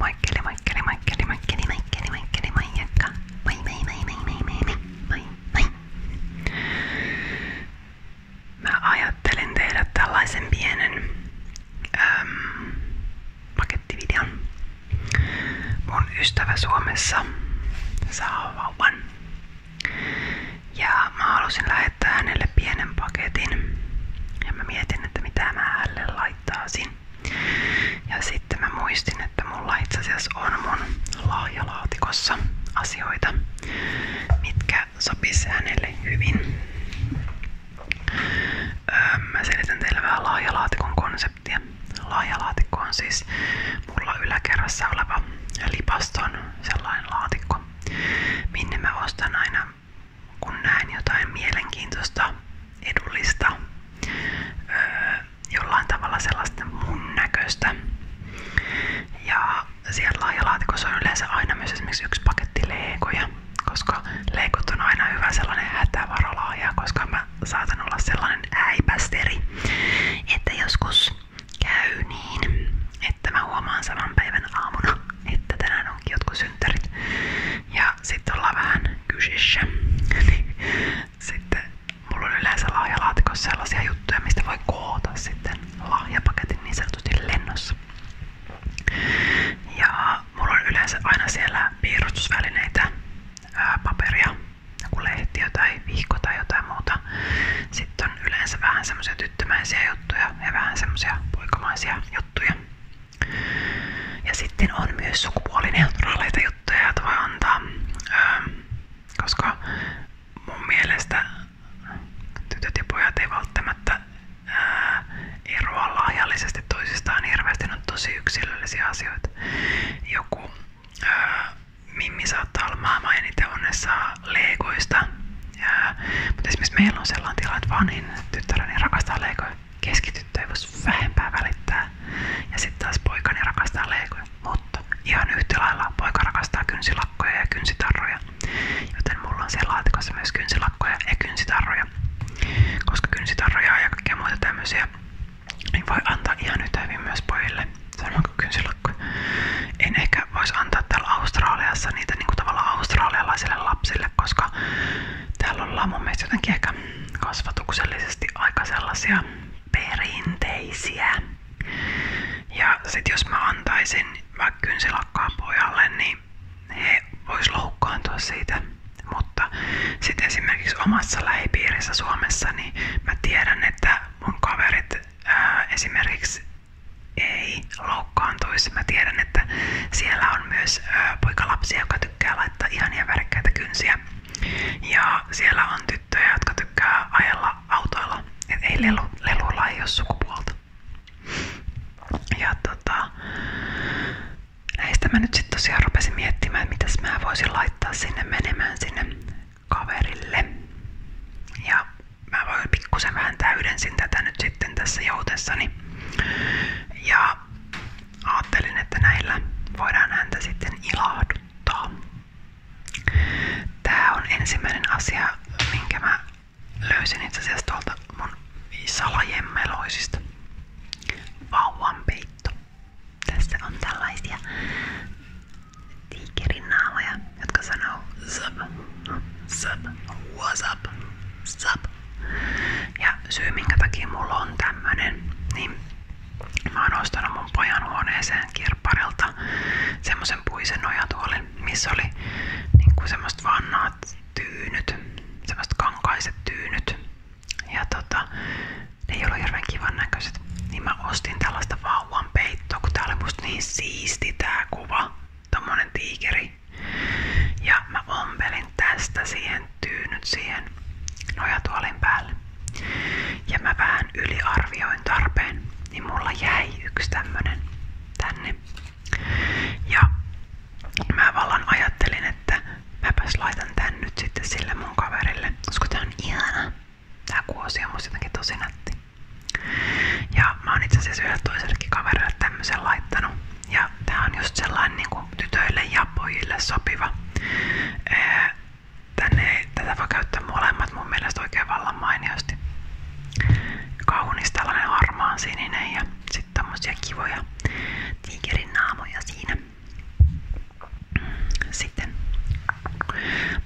Moikkeli, moikkeli, moikkeli, moikkeli, moikkeli, moikkeli, moikka. Moi, moi, moi, moi, moi, moi, moi, moi, moi. Mä ajattelin tehdä tällaisen pienen äm, pakettivideon. Mun ystävä Suomessa saa vauvan. Ja mä halusin lähettää hänelle pienen paketin. Ja mä mietin, että mitä mä hänelle laitan haittaisin. Ja sitten mä muistin, että mulla itse asiassa on mun lahjalaatikossa asioita, mitkä sopisi hänelle hyvin. Öö, mä selitän teille vähän laajalaatikon konseptia. Laajalaatikko on siis mulla yläkerrassa oleva lipaston sellainen laatikko, minne mä ostan aina kun näen jotain mielenkiintoista, edullista, öö, jollain tavalla sellaista mun näköistä. Ja siellä laajalaatikossa on yleensä aina myös esimerkiksi yksi paketti leikoja, koska leikot on aina hyvä sellainen hätävaralaaja, koska mä saatan olla sellainen äipästeri, että joskus käy niin, että mä huomaan saman päivän aamuna, että tänään onkin jotkut synttärit. Ja sitten ollaan vähän kysissä. Niin sitten mulla yleensä lahjalaatikossa sellaisia juttuja, mistä voi koota sitten lahjapaketin niin sanotusti lennossa. Ja mulla yleensä aina siellä piirustusvälineitä, paperia, joku lehtiö tai vihko tai muuta. Sitten yleensä vähän semmoisia tyttömäisiä juttuja ja vähän semmoisia poikamaisia juttuja juttuja. Ja sitten on myös sukupuolineutraaleita juttuja, joita voi antaa, ähm, koska mun mielestä tytöt ja pojat ei välttämättä ää, äh, eroa laajallisesti toisistaan hirveästi, on tosi yksilöllisiä asioita. Joku ää, äh, Mimmi saattaa olla maailman eniten onnessa leikoista. Mutta esimerkiksi meillä on sellainen tilanne, että vanhin tyttäreni rakastaa leikoja. Keskityttö ei voisi vähempää välittää. Ja sitten taas poikani rakastaa leikoja. Mutta ihan yhtä lailla poika rakastaa kynsilakkoja ja kynsitarroja. Joten mulla on siellä laatikossa myös kynsilakkoja ja kynsitarroja. Koska kynsitarroja ja kaikkea muita tämmöisiä niin voi antaa ihan yhtä hyvin myös pojille. Samoin kuin kynsilakkoja en ehkä voisi antaa täällä Australiassa niitä niinku tavallaan australialaisille lapsille, koska täällä ollaan mun mielestä jotenkin ehkä kasvatuksellisesti aika sellaisia perinteisiä. Ja sit jos mä antaisin vaikka kynsilakkaa pojalle, niin he vois loukkaantua siitä. Mutta sitten esimerkiksi omassa lähipiirissä Suomessa, niin mä tiedän, että mun kaverit ää, esimerkiksi ei loukkaantuisi. Mä tiedän, että siellä on myös ö, poikalapsia, jotka tykkää laittaa ihania värkkäitä kynsiä. Ja siellä on tyttöjä, jotka tykkää ajella autoilla. Et ei mm. lelu, lelulla ei ole sukupuolta. Ja tota, näistä mä nyt sitten tosiaan rupesin miettimään, että mitäs mä voisin laittaa sinne menemään sinne kaverille. Ja mä voin pikkusen vähän täydensin tätä nyt sitten tässä joutessani. Ja ajattelin, että näillä voidaan häntä sitten ilahduttaa. Tää on ensimmäinen asia, minkä mä löysin itse asiassa tuolta mun salajemmeloisista. Vauvan peitto. Tässä on tällaisia tiikerinaamoja, jotka sanoo sup, sup, what's up, sup. Ja syy minkä takia mulla on tämmönen, niin mä oon ostanut mun pojan huoneeseen kirpparilta semmosen puisen nojatuolin, missä oli niinku semmoset vannaat tyynyt, semmoset kankaiset tyynyt. Ja tota, ne ei ollut hirveän kivan näköisiä niin mä ostin tällaista vauvan peittoa, kun tää oli musta niin siisti tää kuva. Tommonen tiikeri. Ja mä ompelin tästä siihen tyynyt siihen nojatuolin päälle. Ja mä vähän yliarvioin tarpeen, niin mulla jäi yksi tämmönen tänne. Ja mä vallan ajattelin, että mäpäs laitan tän nyt sitten sille mun kaverille, koska tää on ihana. Tää kuosi on musta jotenkin tosi nätti. Ja mä oon itse asiassa yhdelle toisellekin kaverille tämmöisen laittanut. Ja tää on just sellainen niinku tytöille ja pojille sopiva. Ee, tänne, tätä voi käyttää molemmat mun mielestä oikein vallan mainiosti. Kaunis tällainen harmaan sininen ja sitten tämmöisiä kivoja tiikerin naamoja siinä. Sitten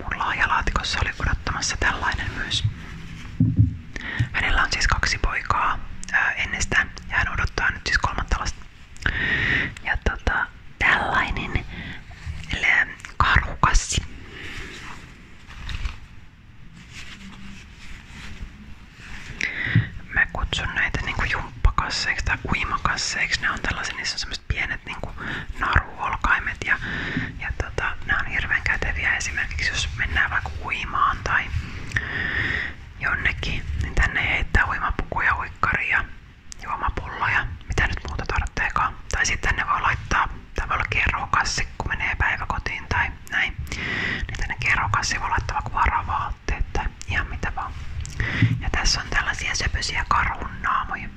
Mun laajalaatikossa oli odottamassa tällainen myös. Hänellä on siis kaksi poikaa ää, ennestään ja hän odottaa nyt siis kolmatta lasta. Ja tota, tällainen karhukassi. Mä kutsun näitä niinku jumppakasseiksi tai uimakasseiksi. Ne on tällaisia, niissä on semmoset pienet niinku karuolkaimet ja, ja tota, nämä on hirveän käteviä esimerkiksi jos mennään vaikka uimaan tai jonnekin, niin tänne ei heittää uimapukuja, uikkaria, juomapulloja, mitä nyt muuta tarvitseekaan. Tai sitten ne voi laittaa, tai voi olla kerrokassi, kun menee päiväkotiin tai näin. Niin tänne kerrokassi voi laittaa vaikka varavaatteet tai ihan mitä vaan. Ja tässä on tällaisia karhun karunnaamoja.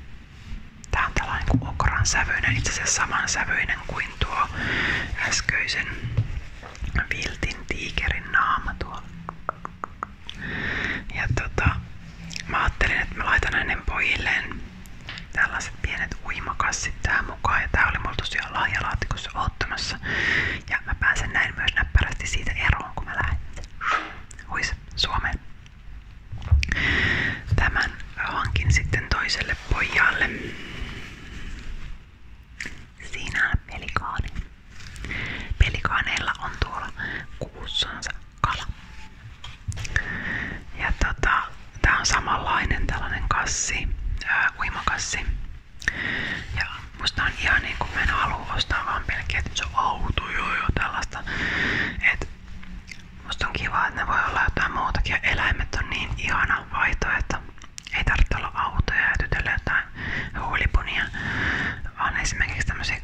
Tää on tällainen kuin okran sävyinen, itse asiassa saman sävyinen kuin tuo äskeisen viltin tiikerin naama tuo. Ja tota, mä ajattelin, että mä laitan hänen pojilleen tällaiset pienet uimakassit tähän mukaan. Ja tää oli mulla tosiaan lahjalaatikossa ottamassa. Ja mä pääsen näin myös näppärästi siitä eroon, kun mä lähden. Huis, Suomeen. Tämän hankin sitten toiselle pojalle. Siinä on pelikaani. on tuolla kuussansa kala. Ja tota, tää on samanlainen tällainen kassi, ää, Ja musta on ihan niinku mä en halua ostaa vaan pelkkiä, että se on outo, joo joo, että, et, musta on kiva, että ne voi olla jotain muutakin ja eläimet on niin ihana vaihtoehto. Ei tarvitse olla autoja ja tytölle jotain huulipunia, vaan esimerkiksi tämmöisiä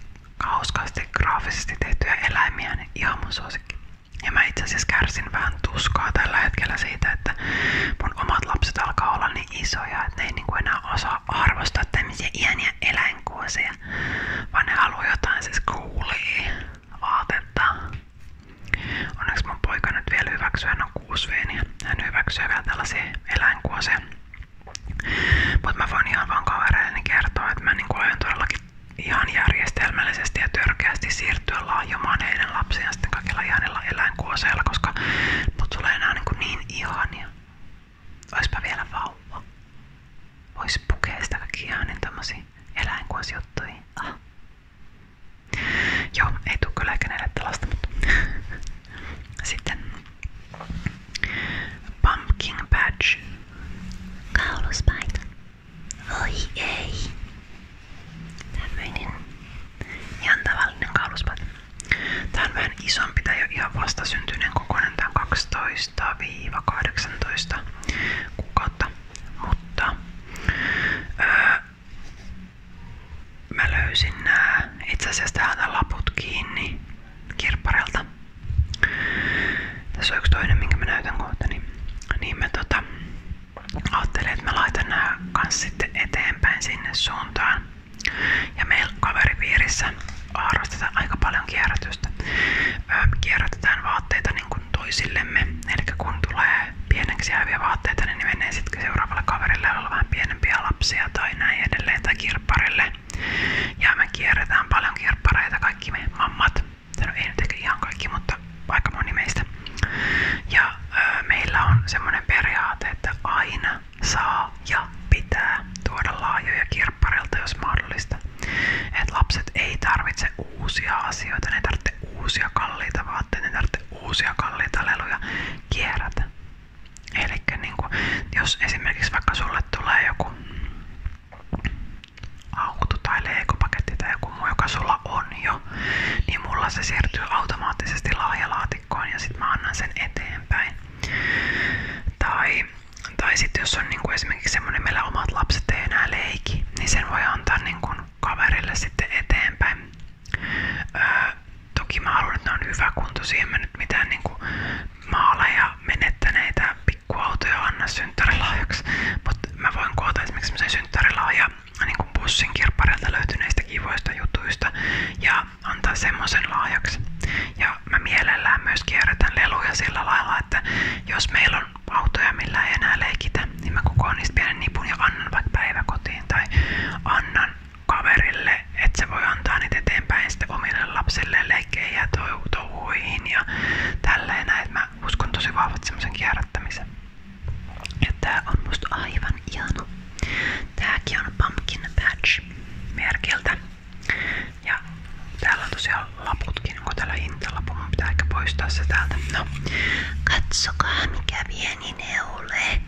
hauskaasti graafisesti tehtyjä eläimiä, niin ihan mun suosikki. Ja mä itse asiassa kärsin vähän tuskaa tällä hetkellä siitä, että mun omat lapset alkaa olla niin isoja, että ne ei niinku enää osaa arvostaa tämmöisiä iäniä pieniä eläinkuosia, vaan ne haluaa jotain siis coolia vaatetta. Onneksi mun poika nyt vielä hyväksyy, hän on 6 niin hän hyväksyy vielä tällaisia eläinkuosia. Mutta mä voin ihan vaan kavereilleni kertoa, että mä niinku aion todellakin ihan järjestelmällisesti ja törkeästi siirtyä laajomaan heidän lapsiaan sitten kaikilla ihanilla eläinkuoseilla, koska mut tulee enää niin, niin ihania. Oispa vielä vauva. Vois pukea sitä kaikki ihan niin tämmösiin eläinkuosjuttuihin. Ah. Joo, ei tule kyllä kenelle tällaista, mutta sitten pumpkin badge, Kauluspaita. Oi ei. Tämmöinen ihan tavallinen kauluspaita. Tää isompi, tää ei ole ihan vastasyntyneen kokoinen, tää on kuukautta, mutta öö, löysin itse asiassa tähän laput kiinni kirpparelta. Tässä on yksi toinen, minkä mä niin, niin mä tota, ajattelin, että mä laitan nää kans sitten eteenpäin sinne suuntaan. Ja meillä kaveripiirissä harrastetaan aika paljon kierrätystä. Öö, vaatteita niin kuin toisillemme. Eli kun tulee pieneksi vaatteita, niin ne menee seuraavalle kaverille, jolla pienempiä lapsia tai näin edelleen, tai Ja me kierretään paljon kirppareita, kaikki mammat. No ei nyt ehkä ihan mutta aika moni Ja meillä on semmoinen periaate, että aina saa ja pitää tuoda laajoja kirpparilta, jos mahdollista. Et lapset ei tarvitse uusia asioita, ne ei uusia kalliita vaatteita, ne ei uusia kalliita leluja kierrätä. Eli niin jos esimerkiksi vaikka sulle tulee joku auto tai leikopaketti tai on jo, niin mulla se siirtyy automaattisesti lahjalaatikoon laatikkoon ja sitten mä annan sen eteenpäin. Tai, tai sitten jos on niinku esimerkiksi semmoinen, meillä omat lapset ei enää leiki, niin sen voi antaa niinku kaverille sitten eteenpäin. Öö, toki mä haluan, että ne on hyväkuntoisia, en mä nyt mitään niinku maaleja menettäneitä pikkuautoja anna synttärilahjaksi, mutta mä voin koota esimerkiksi semmoisen synttärilahjan niin bussin kirpparilta löytyneistä kivoista jutuista ja antaa semmoisen lahjaksi. Ja mä mielellään myös kierrätän leluja sillä lailla, että jos meillä on autoja, millä ei enää leikitä, niin mä kokoon niistä pienen nipun ja annan vaikka päiväkotiin tai annan kaverille, että se voi antaa niitä eteenpäin sitten omille lapsille leikkejä ja touhuihin ja tälleen näin. Mä uskon tosi vahvat semmoisen kierrättämisen. Ja tää on musta aivan ihana. Tääkin on Pumpkin Patch merkiltä. Ja täällä on tosiaan laputkin, onko täällä hintalapu, mun pitää ehkä poistaa se täältä. No, katsokaa mikä pieni neule.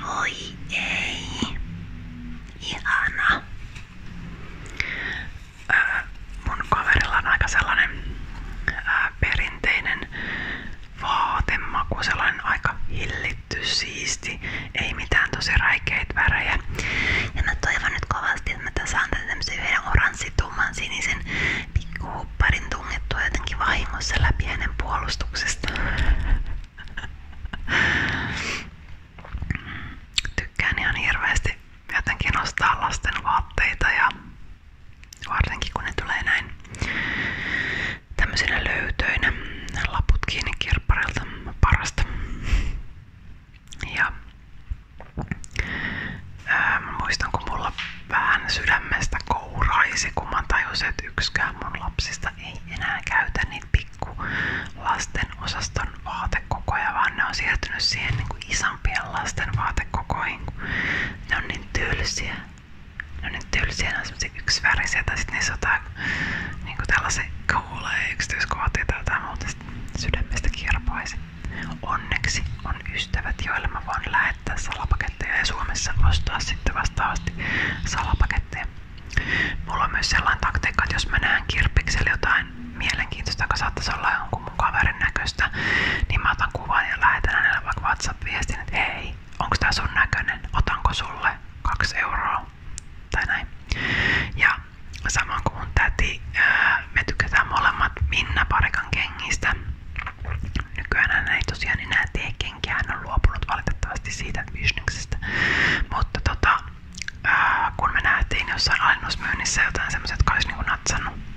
Moi ei. Ihana. Äh, mun kaverilla on aika sellainen äh, perinteinen vaatemaku, sellainen aika hillitty, siisti, ei mitään tosi räikeitä värejä. Ja mä toivon nyt kovasti, että mä tässä saan tämmöisen yhden oranssitumman sinisen pikkuhupparin tungettua jotenkin vahingossa läpi hänen puolustuksesta. Tykkään ihan hirveästi jotenkin ostaa lasten vaatteita ja varsinkin kun ne tulee näin tämmöisinä löytöinä laput kiinni parasta. Ja ää, mulla vähän sydämestä kouraisi, kun mä tajusin, että yksikään lapsista ei enää käytä niitä pikku lasten osaston vaatekokoja, vaan ne siihen niin kuin lasten vaatekokoihin. Ne on niin tylsiä, no nyt tylsiä, ne on semmosia yksivärisiä tai sit niissä on jotain niinku tällaisia kuulee yksityiskohtia tai jotain muuta sydämestä kirpaisi. Onneksi on ystävät, joille mä voin lähettää salapaketteja ja Suomessa ostaa sitten vastaavasti salapaketteja. Mulla on myös sellainen taktiikka, että jos mä näen kirppikselle jotain mielenkiintoista, joka saattaisi olla jonkun mun kaverin näköistä, niin mä otan otan kuvan ja lähetän hänelle vaikka WhatsApp-viestin, että hei, onko tää sun näköinen, otanko sulle kaksi euroa tai näin. Ja samoin kuin mun täti, me tykätään molemmat Minna Parikan kengistä. Nykyään hän ei tosiaan enää tee kenkiä, hän on luopunut valitettavasti siitä bisneksestä. Mutta tota, kun me nähtiin jossain alennusmyynnissä jotain semmoiset, jotka olisi niinku natsannut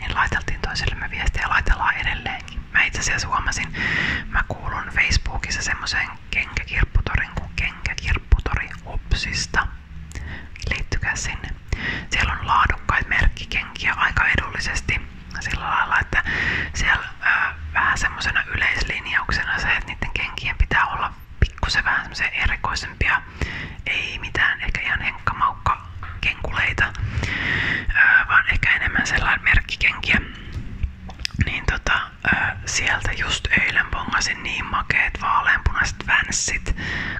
niin laiteltiin toisillemme viestiä ja laitellaan edelleenkin. Mä itse asiassa huomasin, mä kuulun Facebookissa semmoiseen kenkäkirpputorin kuin kenkäkirpputori Upsista. Liittykää sinne. Siellä on laadukkaita merkkikenkiä aika edullisesti sillä lailla, että siellä ää, äh, vähän semmosena yleislinjauksena se, että niiden kenkien pitää olla pikkusen vähän semmoisia erikoisempia, ei mitään ehkä ihan henkkamaukka kenkuleita, vaan ehkä enemmän sellainen merkkikenkiä. Niin tota, sieltä just eilen bongasin niin makeet vaaleanpunaiset vänssit,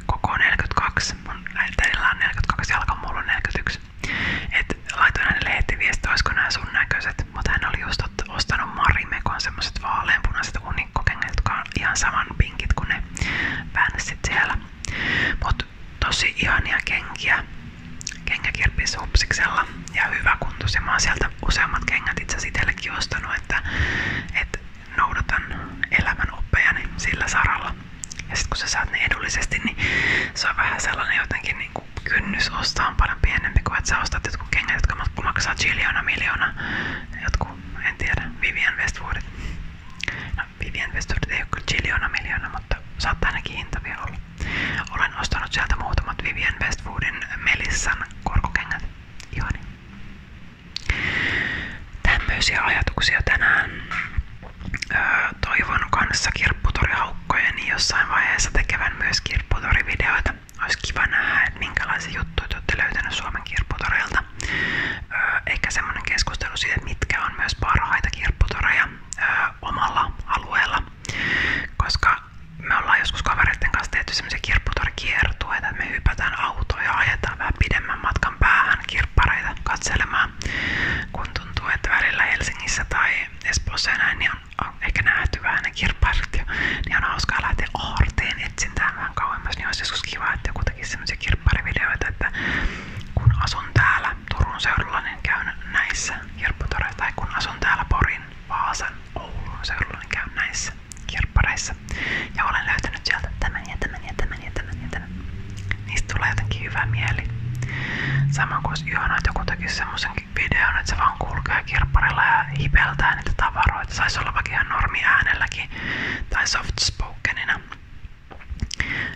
koko 42, mun äitellä on 42 jalka, mulla on 41. Et laitoin hänelle heti viesti, olisiko nämä sun näköiset, mutta hän oli just ostanut Marimekon semmoset vaaleanpunaiset unikkokengät, jotka on ihan saman pinkit kuin ne vänssit siellä. Mut tosi ihania kenkiä. Kengäkirpis Hupsiksella ja hyvä kuntosi. Mä oon sieltä useammat kengät itse itsellekin ostanut, että et noudatan elämän oppejani sillä saralla. Ja sit kun sä saat ne edullisesti, niin se on vähän sellainen jotenkin niin kuin kynnys ostaa on paljon pienempi kuin että sä ostat jotkut kengät, jotka maksaa chiliona miljoona. Jotkut, en tiedä, Vivian Westwoodit. No Vivian Westwood ei ole kyllä hinta vielä olla. Olen ostanut sieltä muutamat Vivian Westwoodin Melissan korkokengät. Ihani. Tämmöisiä ajatuksia tänään. toivon kanssa kirpputorihaukkojen jossain vaiheessa tekevän myös kirpputorivideoita. Olisi kiva nähdä, että minkälaisia juttuja te olette löytäneet Suomen kirpputoreilta mutta ö, semmoinen keskustelu siitä, mitkä on myös parhaita kirpputoreja omalla alueella, koska me ollaan joskus kavereiden kanssa tehty semmoisia kirpputorikiertueita, että me hypätään autoja ajetaan pidemmän matkan päähän kirppareita katselemaan, kun tuntuu, että välillä Helsingissä tai Espoossa niin on ehkä nähty vähän niin on hauskaa aarteen etsintään vähän kauemmas, niin joskus kiva, että joku tekisi semmoisia kirpparivideoita, että kun asun täällä Turun seudulla, niin käyn näissä kirpputoreissa, tai kun asun täällä Porin, Vaasan, Oulun seudulla, niin käyn näissä kirppareissa. Ja olen löytänyt sieltä tämän ja tämän ja tämän ja tämän ja tämän. Niistä tulee jotenkin hyvä mieli. Sama kuin olisi ihana, että joku tekisi semmosen videon, että se vaan kulkee kirpparilla ja hipeltää niitä tavaroita. Saisi olla vaikka ihan normi äänelläkin tai soft spokenina.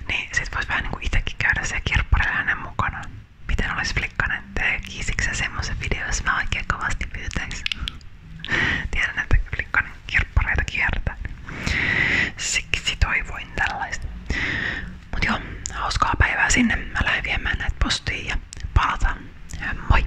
Niin sit vois vähän niinku itekin käydä siellä kirpparilla hänen mukanaan. Miten olis flikkanen? Tekisitkö sä semmosen videon, jos mä oikein kovasti pyytäis? Tiedän, että flikkanen kirppareita kiertää. Siksi toivoin tällaista. Mut joo, hauskaa päivää sinne. Mä lähden viemään näitä postiin ja palataan. Moi!